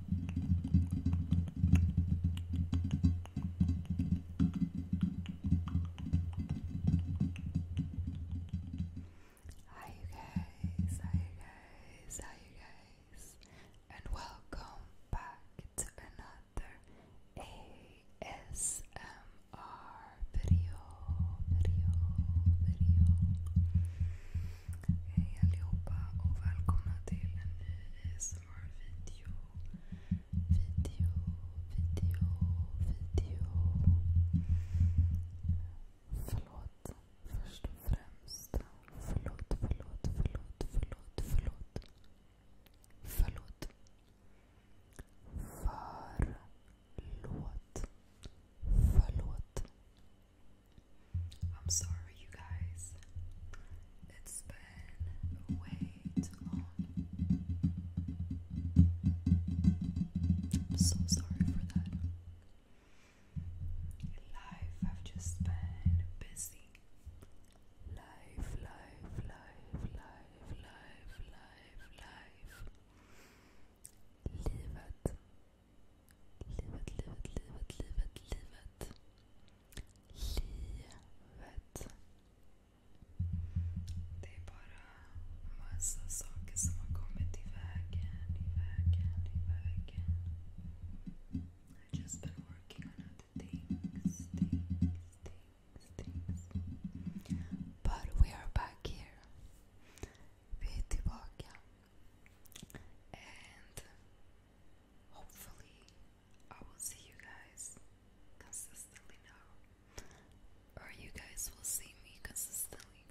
Hi you guys, hi you guys, hi you guys, and welcome back to another ASMR video, video, video. Hej allihopa och välkomna till en ny ASMR video, video, video, video. Förlåt, först och främst. Förlåt, förlåt, förlåt, förlåt, förlåt. Förlåt. Förlåt. Förlåt. I'm sorry, you guys. It's been way too long. I'm so sorry for that. Life, I've just been busy. Life, life, life, life, life, life, life. Livet. Livet, livet, livet, livet, livet. Livet. Det är bara massa saker som har kommit i vägen, i vägen, i vägen. I've just been working on other things, things, things, things. But we are back here. Vi är tillbaka and hopefully I will see you guys consistently now, or you guys will see me consistently.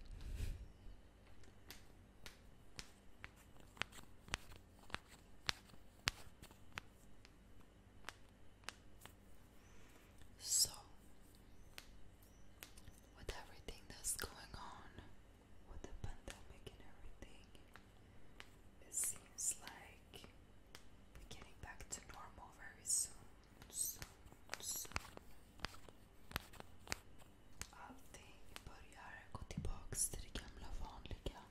So, with everything that's going on, with the pandemic and everything, it seems like we're getting back to normal very soon. Allting börjar gå tillbaks till det gamla vanliga.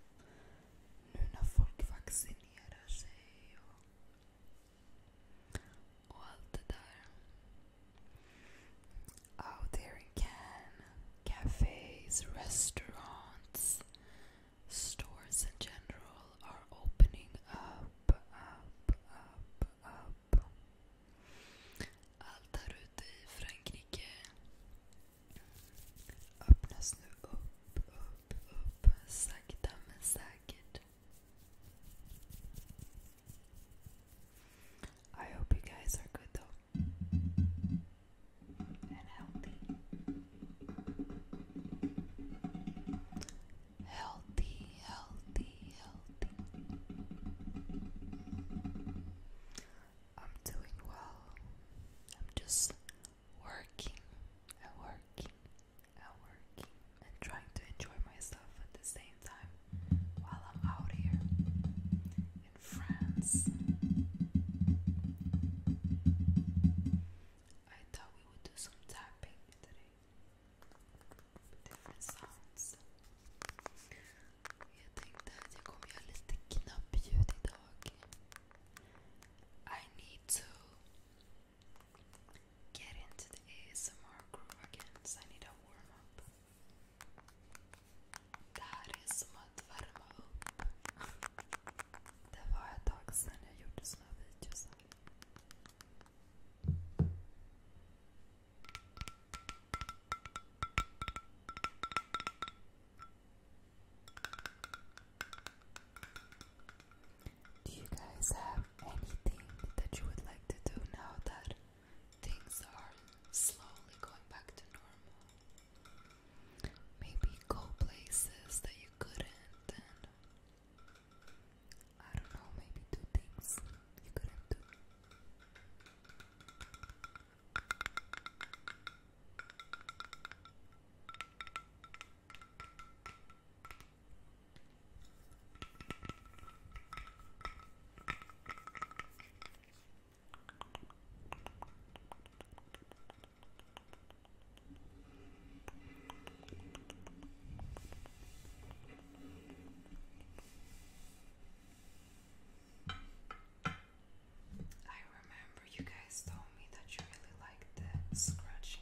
när folk vaccinerar och, allt där out there again cafes, restaurants, stores in general are opening up, up, up, up. Allt här ute i Frankrike öppnas nu upp, upp, upp, sakta men säkert. I hope you guys are good though and healthy. Healthy, healthy, healthy. I'm doing well. I'm just working and working and working and trying to enjoy myself at the same while I'm out here in France. I thought we would do some tapping today. Different sounds. Jag tänkte att jag kommer göra lite knappljud idag. I need to get into the ASMR groove again, I need a warm up. Karismat värma upp. Det var ett tag sedan jag gjorde såna videos här. Do you guys have anything that you would like to do now that things are slowly going back to normal? Maybe go places that you couldn't, and I don't know, maybe do things you couldn't do. I remember you guys told me that you really like the scratching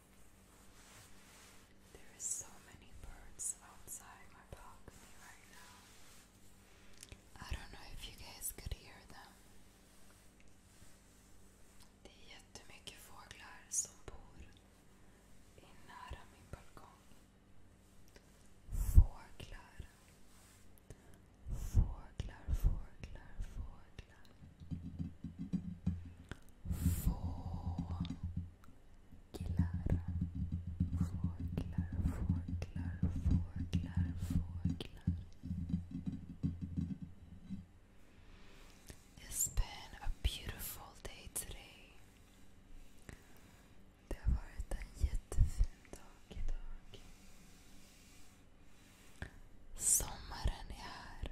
There is so many birds outside my balcony right now. I don't know if you guys could hear them. Det är jättemycket fåglar som bor i min balkong. Fåglar. Fåglar, fåglar, fåglar. Fåglar. Fåglar, fåglar, fåglar, fåglar, fåglar. It's been a beautiful day today. Det har varit en jättefin dag idag. Sommaren är här.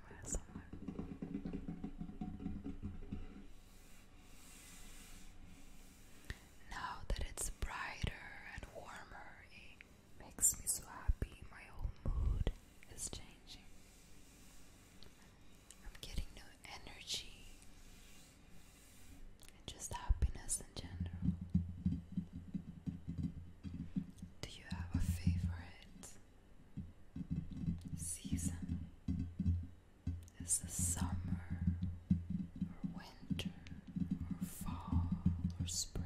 Now that it's brighter and warmer, it makes me so happy. My whole mood is changing. I'm getting new energy and just happiness in general. Do you have a favorite season is the summer or winter or fall or spring,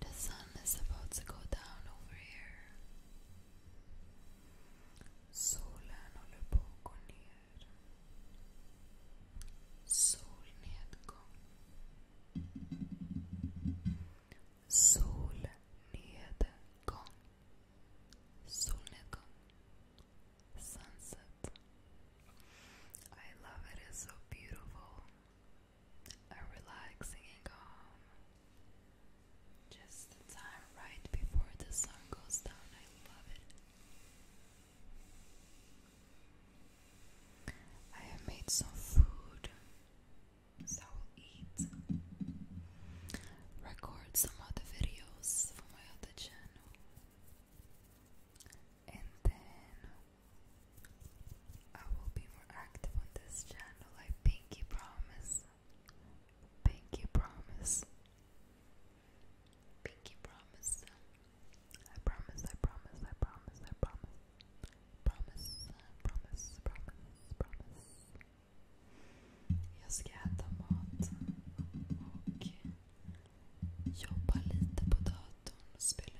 the sun is about to go down over here. Solen håller på att gå ner. Solnedgång. Solnedgång. Solnedgång. Sunset. I love it. It's so beautiful a relaxing and calm. Just the time right before the sun goes down. I love it. I have made some food, so I will eat. Record some other videos for my other channel. And then I will be more active on this channel, I pinky promise. Pinky promise. Pinky promise. I promise, I promise, I promise, I promise. Promise, promise, promise, promise. Jag ska äta mat och jobba lite på datorn och spela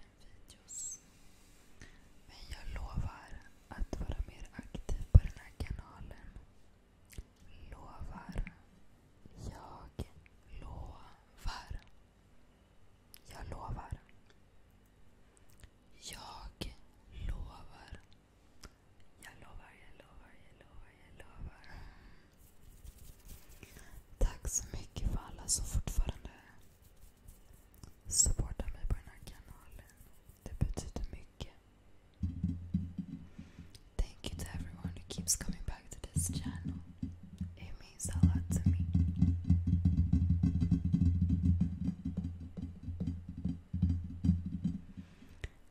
Men jag lovar att vara mer aktiv på den här kanalen. Lovar. Jag lovar. Jag lovar. Jag lovar. Jag lovar, jag lovar, jag lovar, jag lovar. Tack så mycket för alla som fortfarande Supporta mig på den här kanalen. Det betyder mycket. Thank you to everyone who keeps coming back to this channel. It means a lot to me.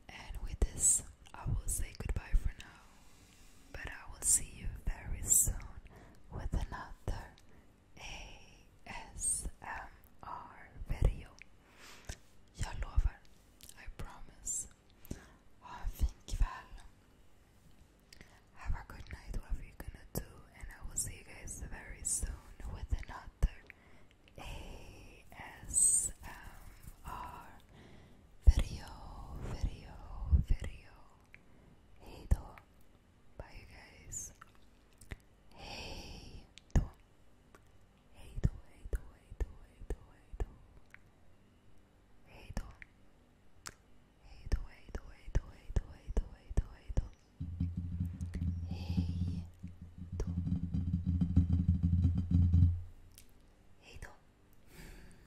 And with this, I will say goodbye for now. But I will see you very soon with another ASMR video. Jag lovar. I promise. Ha en fin Have a good night, whatever you're gonna do. And I will see you guys very soon with another ASMR video, video, video. Hey då. Bye you guys. Hey då. Hey då, hey då, hey då, hey då, hey då. Hey då. Hey då, hey då, hey då, hey då, hey då, hey då, hey då. Hej då. Hej då.